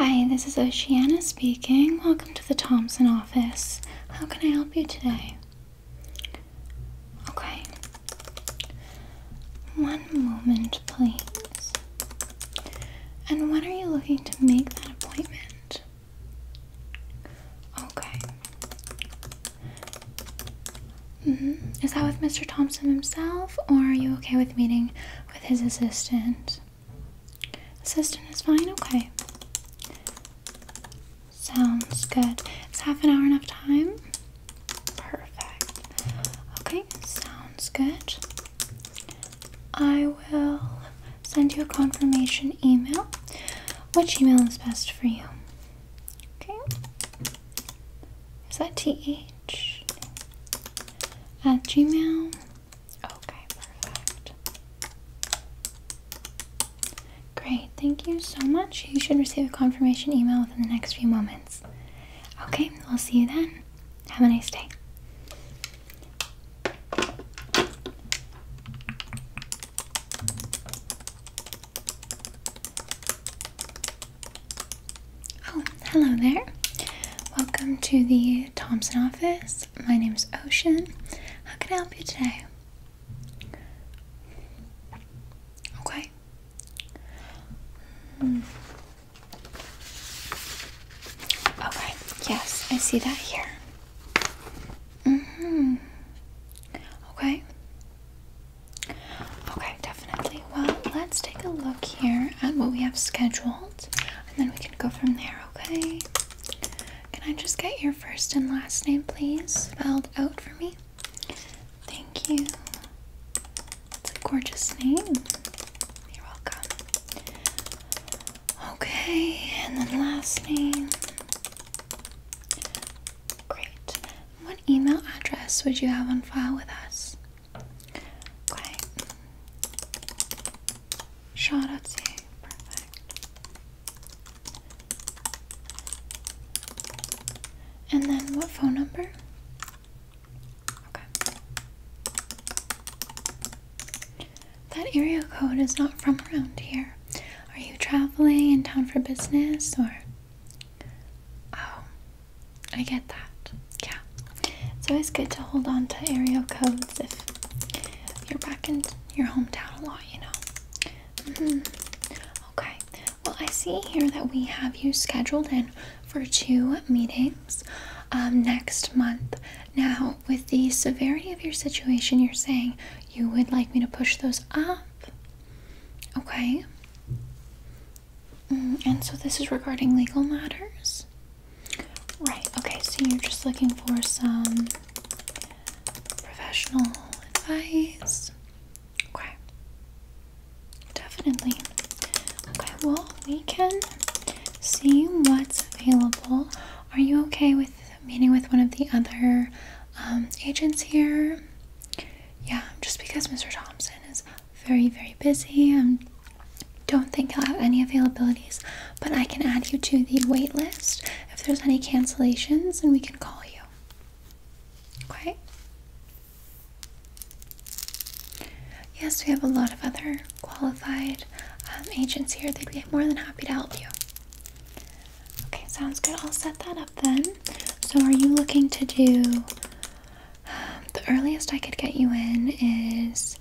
Hi, this is Oceana speaking. Welcome to the Thompson office. How can I help you today? Okay. One moment, please. And when are you looking to make that appointment? Okay. Mm -hmm. Is that with Mr. Thompson himself, or are you okay with meeting with his assistant? Assistant is fine? Okay. Sounds good. It's half an hour enough time? Perfect. Okay, sounds good. I will send you a confirmation email. Which email is best for you? Okay. Is that th at gmail? Okay, perfect. Great, thank you so much. You should receive a confirmation email within the next few moments. Okay, I'll see you then. Have a nice day. Oh, hello there. Welcome to the Thompson office. My name is Ocean. How can I help you today? Okay. Hmm. Okay, yes, I see that here. Mm hmm Okay. Okay, definitely. Well, let's take a look here at what we have scheduled, and then we can go from there, okay? Can I just get your first and last name, please, spelled out for me? Thank you. It's a gorgeous name. You're welcome. Okay, and then last name. Great. What email address would you have on file with us? Okay. Shaw.ca. Perfect. And then what phone number? Okay. That area code is not from around here. Are you traveling in town for business or? Oh, I get that. Yeah. It's always good to hold on to area codes if you're back in your hometown a lot, you know. Mm-hmm. Okay. Well, I see here that we have you scheduled in for two meetings um, next month. Now, with the severity of your situation, you're saying you would like me to push those up? Okay. Mm, and so this is regarding legal matters? Right, okay, so you're just looking for some professional advice. Okay. Definitely. Okay, well, we can see what's available. Are you okay with meeting with one of the other um, agents here. Yeah, just because Mr. Thompson is very, very busy. Um, don't think he'll have any availabilities, but I can add you to the wait list if there's any cancellations and we can call you. Okay? Yes, we have a lot of other qualified um, agents here. They'd be more than happy to help you. Okay, sounds good. I'll set that up then. So, are you looking to do the earliest I could get you in is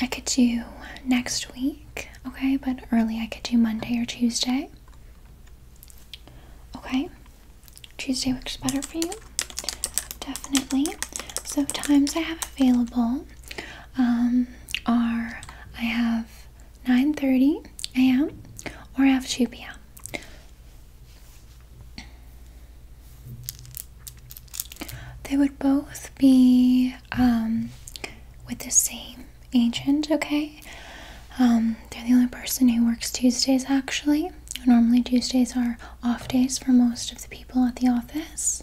I could do next week, okay? But early I could do Monday or Tuesday, okay? Tuesday works better for you, definitely. So, times I have available are um, I have 9:30 a.m. or I 2 p.m. They would both be um, with the same agent, okay? Um, they're the only person who works Tuesdays actually. Normally, Tuesdays are off days for most of the people at the office.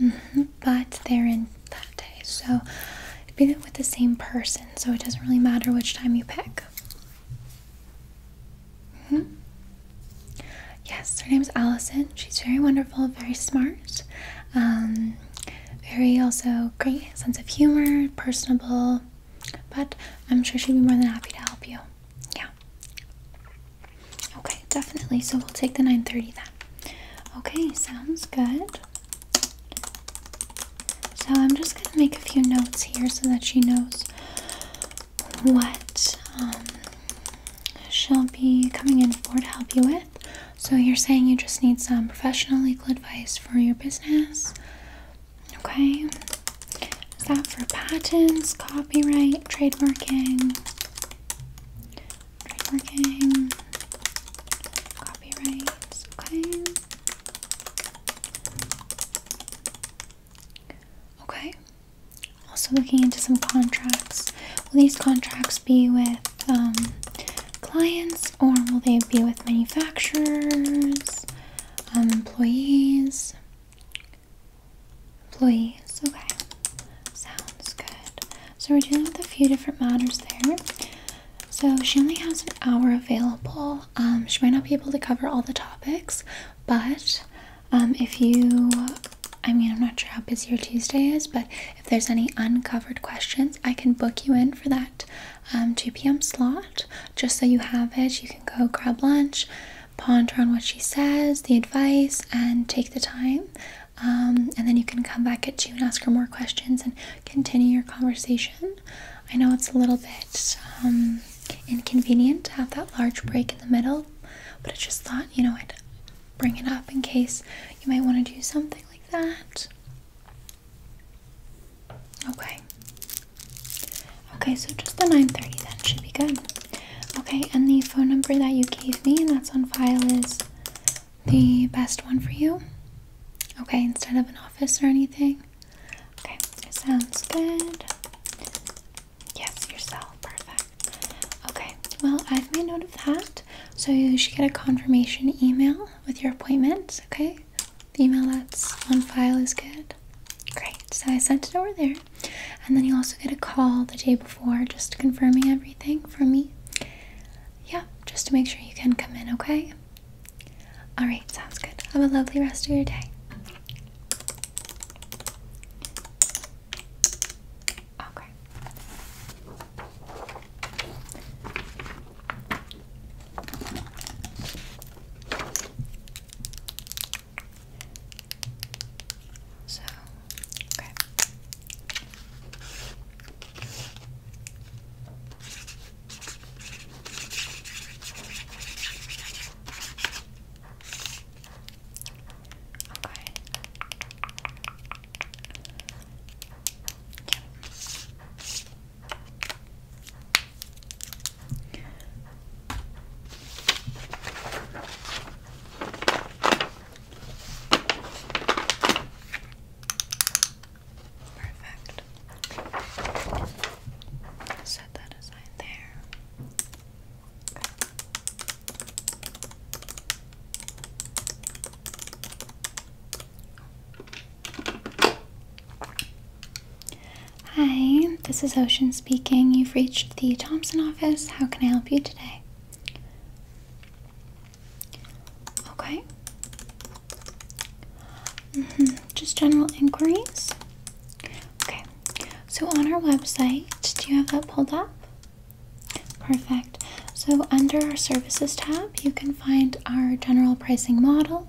Mm-hmm but they're in that day. So it'd be with the same person, so it doesn't really matter which time you pick. Mm-hmm. Yes, her name is Allison. She's very wonderful, very smart, um, very also great sense of humor, personable, but I'm sure she'd be more than happy to help you. Yeah. Okay, definitely. So we'll take the 930 then. Okay, sounds good. So I'm just going to make a few notes here so that she knows what um, she'll be coming in for to help you with. So you're saying you just need some professional legal advice for your business. Okay. that for patents, copyright, trademarking? trademarking, copyrights, okay. Okay, also looking into some contracts. Will these contracts be with um, clients or will they be with manufacturers, um, employees? employees. Okay, sounds good. So we're dealing with a few different matters there. So she only has an hour available. Um, she might not be able to cover all the topics, but um, if you, I mean, I'm not sure how busy your Tuesday is, but if there's any uncovered questions, I can book you in for that um, 2 p.m. slot. Just so you have it, you can go grab lunch, ponder on what she says, the advice, and take the time um, and then you can come back at two and ask her more questions and continue your conversation. I know it's a little bit um, inconvenient to have that large break in the middle, but I just thought, you know, I'd bring it up in case you might want to do something like that. Okay. Okay, so just the 9:30 then should be good. Okay, and the phone number that you gave me and that's on file is the best one for you? Okay, instead of an office or anything? Okay, sounds good. Yes, yourself. Perfect. Okay, well, I've made note of that. So you should get a confirmation email with your appointment, okay? The email that's on file is good. Great, so I sent it over there. And then you also get a call the day before just confirming everything from me. Yeah, just to make sure you can come in, okay? Alright, sounds good. Have a lovely rest of your day. Okay. So, okay. Okay. Yeah. Okay. Perfect. Set that aside there. Hi, this is Ocean speaking. You've reached the Thompson office. How can I help you today? Okay. Mm -hmm. Just general inquiries. Okay. So on our website, do you have that pulled up? Perfect. So under our services tab, you can find our general pricing model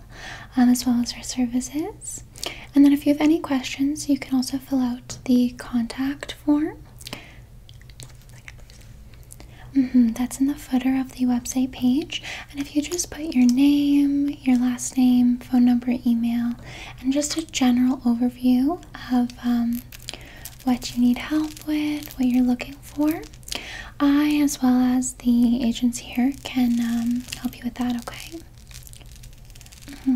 um, as well as our services. And then if you have any questions, you can also fill out the contact looked mm-hmm, that's in the footer of the website page. And if you just put your name, your last name, phone number, email, and just a general overview of um, what you need help with, what you're looking for, I, as well as the agents here, can um, help you with that, okay? Mm-hmm.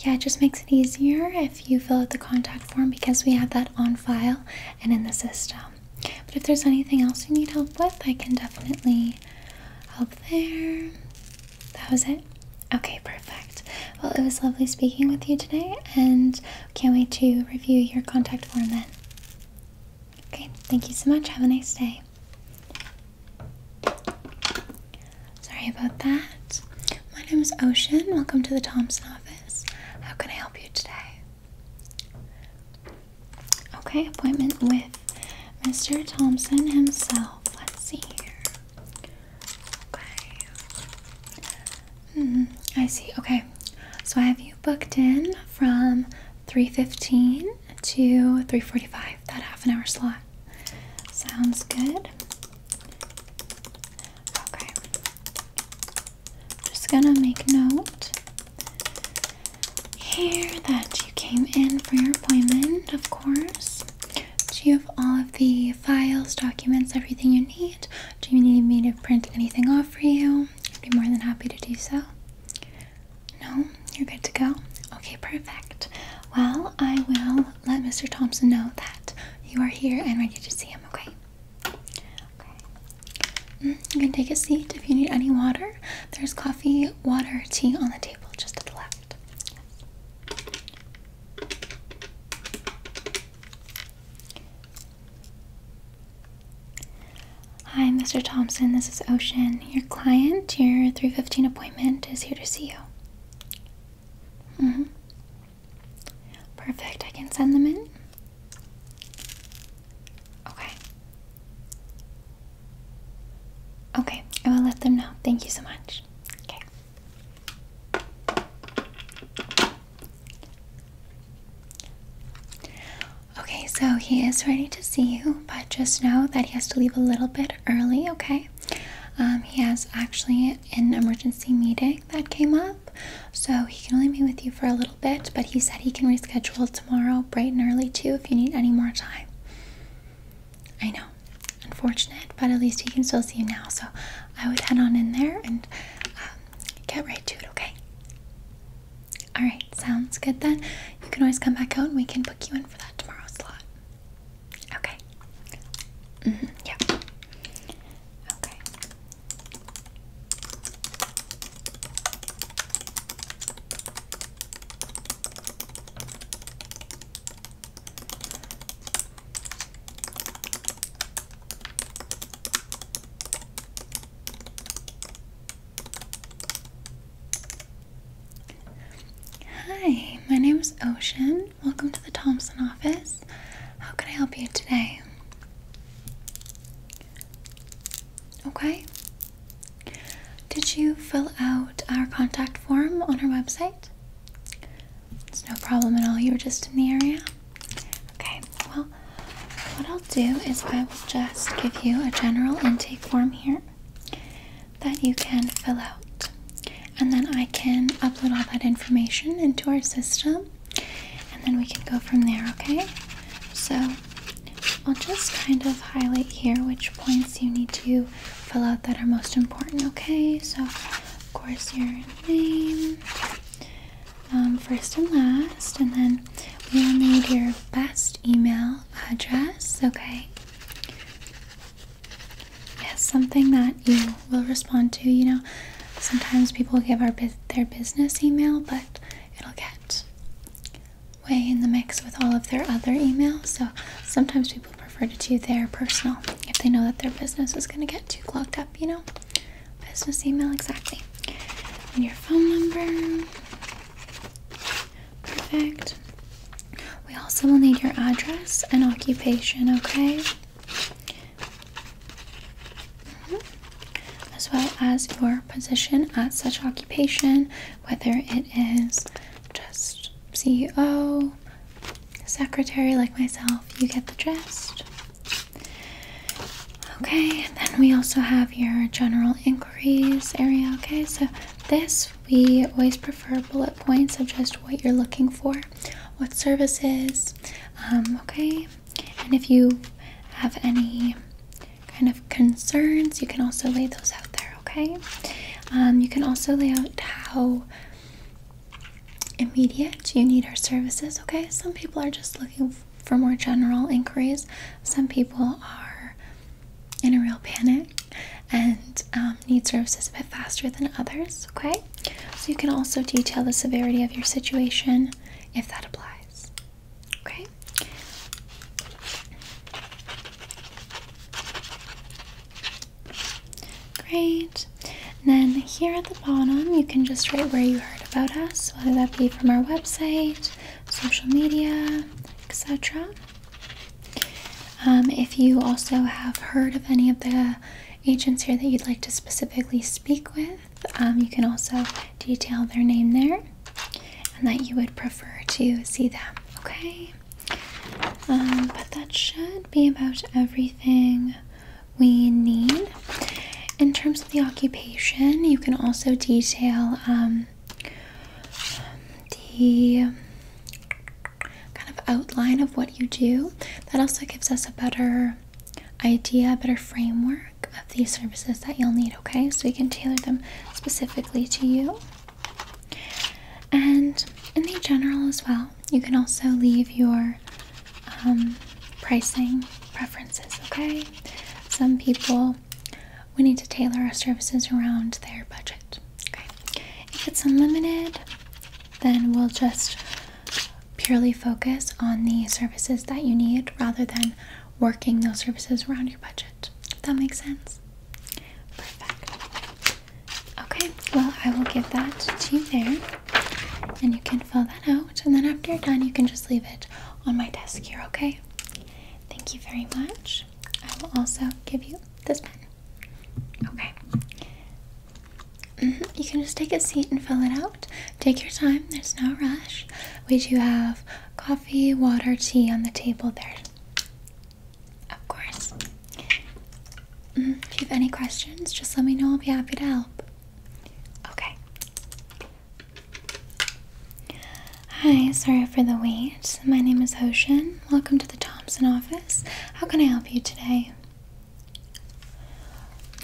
Yeah, it just makes it easier if you fill out the contact form because we have that on file and in the system. But if there's anything else you need help with, I can definitely help there. That was it. Okay, perfect. Well, it was lovely speaking with you today, and can't wait to review your contact form then. Okay, thank you so much. Have a nice day. Sorry about that. My name is Ocean. Welcome to the Thompson office. How can I help you today? Okay, appointment with Mr. Thompson himself. Let's see here. Okay. Mm, I see. Okay. So I have you booked in from 3:15 to 3:45 that half an hour slot. Sounds good. Okay. Just gonna make note here that you came in for your appointment, of course. Do you have all of the files, documents, everything you need? Do you need me to print anything off for you? I'd be more than happy to do so. No? You're good to go? Okay, perfect. Well, I will let Mr. Thompson know that you are here and ready to see him, okay? Okay. Mm, you can take a seat if you need any water. There's coffee, water, tea on the table just to the left. Hi, Mr. Thompson. This is Ocean. Your client, your 315 appointment, is here to see you. Mm hmm Perfect. I can send them in. Okay. Okay, I will let them know. Thank you so much. Okay. Okay, so he is ready to see you, but just know that he has to leave a little bit early, okay? Um, he has actually an emergency meeting that came up, so he can only be with you for a little bit, but he said he can reschedule tomorrow bright and early too if you need any more time. I know, unfortunate, but at least he can still see you now, so I would head on in there and um, get right to it, okay? Alright, sounds good then. You can always come back home. we can book you in for that tomorrow slot. Okay. Mm-hmm. Yeah. Okay. Hi, my name is Ocean. Welcome to the Thompson office. How can I help you today? Okay. Did you fill out our contact form on our website? It's no problem at all. You were just in the area? Okay, well, what I'll do is I will just give you a general intake form here that you can fill out. And then I can upload all that information into our system and then we can go from there, okay? So I'll just kind of highlight here which points you need to fill out that are most important, okay? So, of course, your name, um, first and last, and then we will need your best email address, okay? Yes, something that you will respond to. You know, sometimes people give our their business email, but it'll get way in the mix with all of their other emails. So sometimes people prefer to do their personal if they know that their business is going to get too clogged up. You know, business email exactly. And your phone number. Perfect. We also will need your address and occupation, okay? Mm-hmm. As well as your position at such occupation, whether it is just CEO, secretary like myself, you get the gist. Okay, then we also have your general inquiries area, okay? So this we always prefer bullet points of just what you're looking for, what services, um, okay? And if you have any kind of concerns, you can also lay those out there, okay? Um, you can also lay out how immediate you need our services, okay? Some people are just looking for more general inquiries, some people are in a real panic and um, need services a bit faster than others, okay? So you can also detail the severity of your situation if that applies, okay? Great. then here at the bottom, you can just write where you heard about us, whether that be from our website, social media, etc. Um, if you also have heard of any of the agents here that you'd like to specifically speak with, um, you can also detail their name there and that you would prefer to see them. Okay? Um, but that should be about everything we need. In terms of the occupation, you can also detail um, the kind of outline of what you do. That also gives us a better idea, a better framework of the services that you'll need, okay? So we can tailor them specifically to you. And in the general as well, you can also leave your um, pricing preferences, okay? Some people we need to tailor our services around their budget. If it's unlimited, then we'll just purely focus on the services that you need rather than working those services around your budget. If that makes sense? Perfect. Okay, well, I will give that to you there and you can fill that out. And then after you're done, you can just leave it on my desk here, okay? Thank you very much. I will also give you this pen. Okay. Mm-hmm. You can just take a seat and fill it out. Take your time, there's no rush. We do have coffee, water, tea on the table there. Of course. Mm-hmm. If you have any questions, just let me know. I'll be happy to help. Okay. Hi, sorry for the wait. My name is Hoshin. Welcome to the Thompson office. How can I help you today?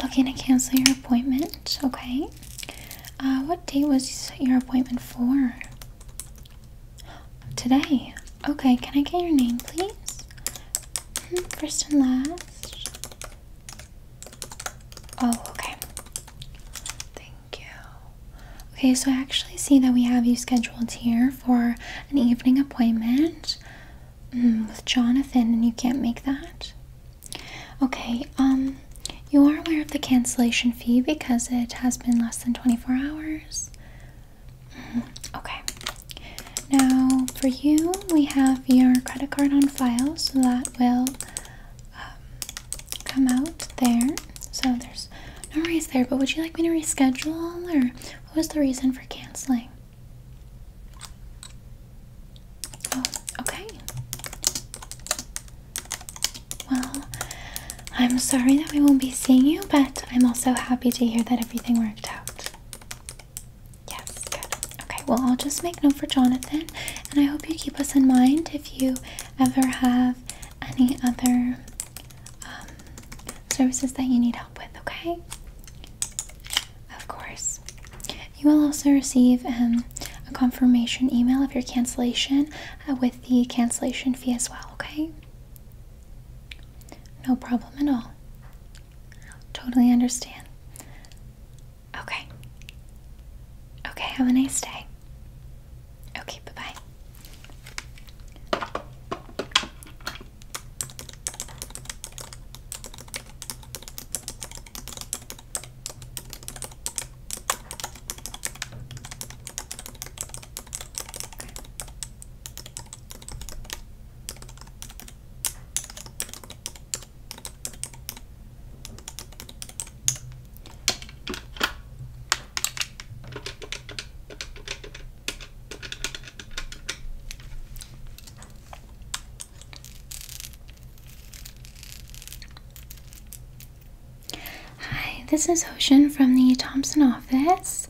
Looking to cancel your appointment, okay. Uh, what date was your appointment for? Today. Okay, can I get your name, please? Hmm, first and last. Oh, okay. Thank you. Okay, so I actually see that we have you scheduled here for an evening appointment mm, with Jonathan, and you can't make that. Okay, um, you are aware of the cancellation fee because it has been less than 24 hours. Mm-hmm, okay. Now, for you, we have your credit card on file, so that will um, come out there. So there's no race there, but would you like me to reschedule or what was the reason for canceling? Oh, okay. Well, I'm sorry that we won't be seeing you, but I'm also happy to hear that everything worked out. Yes, good. Okay, well, I'll just make note for Jonathan, and I hope you keep us in mind if you ever have any other um, services that you need help with, okay? Of course. You will also receive um, a confirmation email of your cancellation uh, with the cancellation fee as well, okay? No problem at all. Totally understand. Okay. Okay, have a nice day. Okay, bye bye. Hi, this is Ocean from the Thompson office.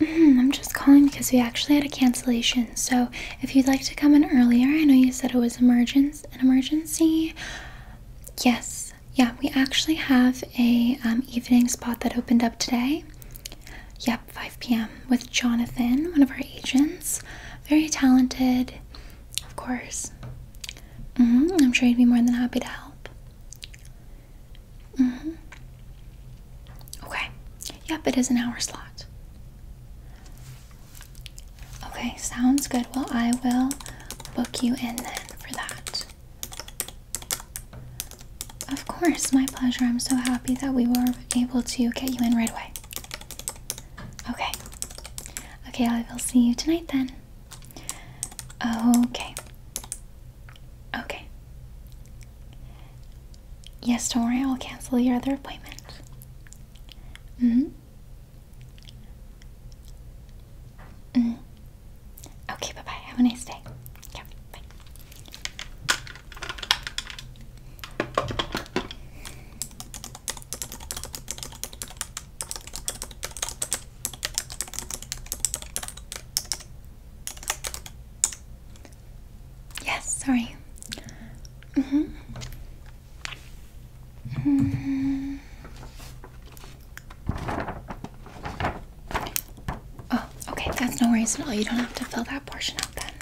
Mm-hmm, I'm just calling because we actually had a cancellation. So, if you'd like to come in earlier, I know you said it was an emergency yes, yeah, we actually have a um, evening spot that opened up today. Yep, 5 p.m. with Jonathan, one of our agents. Very talented, of course. Mm-hmm, I'm sure he'd be more than happy to help. Mm-hmm. Okay. Yep, it is an hour slot. Okay, sounds good. Well, I will book you in then for that. Of course, my pleasure. I'm so happy that we were able to get you in right away. Okay. Okay, I will see you tonight then. Okay. Okay. Yes, don't worry, I'll cancel your other appointment. hmm Mm. Okay, bye bye. Have a nice day. Yes, sorry. Mm-hmm. Mm-hmm. Oh, okay, that's no worries at all. You don't have to fill that portion out then.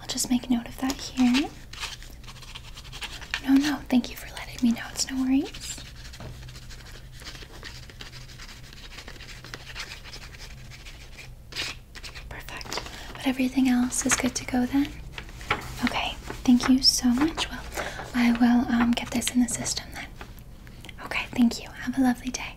I'll just make note of that here. No, no, thank you for letting me know. It's no worries. Perfect. But everything else is good to go then? Okay, thank you so much. Well, I will um, get this in the system then. Okay, thank you. Have a lovely day.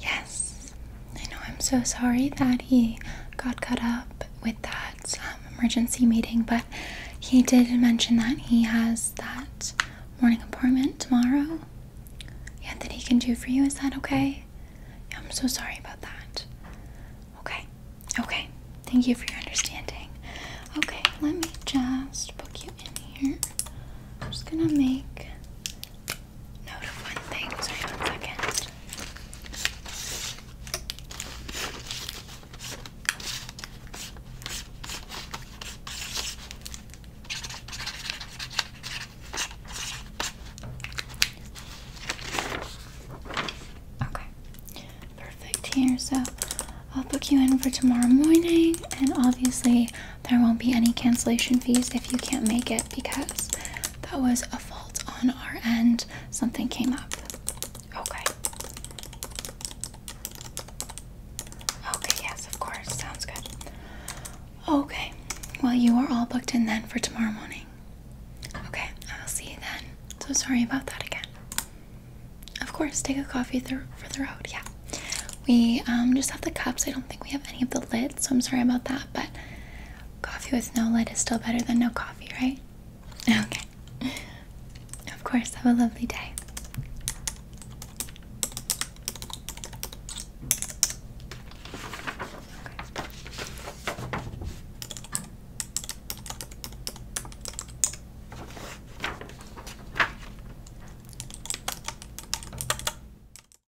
Yes, I know I'm so sorry that he got caught up with that um, emergency meeting, but he did mention that he has that morning appointment tomorrow. Yeah, that he can do for you. Is that okay? Yeah, I'm so sorry about that. Okay, okay. Thank you for your understanding. Okay, let me just book you in here. I'm just gonna make Okay, perfect here. So I'll book you in for tomorrow morning, and obviously, there won't be any cancellation fees if you can't make it because that was a fault on our end. Something came up. Okay. Okay, yes, of course. Sounds good. Okay. Well, you are all booked in then for tomorrow morning. Okay, I'll see you then. So sorry about that again. Of course, take a coffee for the road. Yeah. We um, just have the cups. I don't think we have any of the lids, so I'm sorry about that. But Coffee with no light is still better than no coffee, right? Okay. Of course, have a lovely day.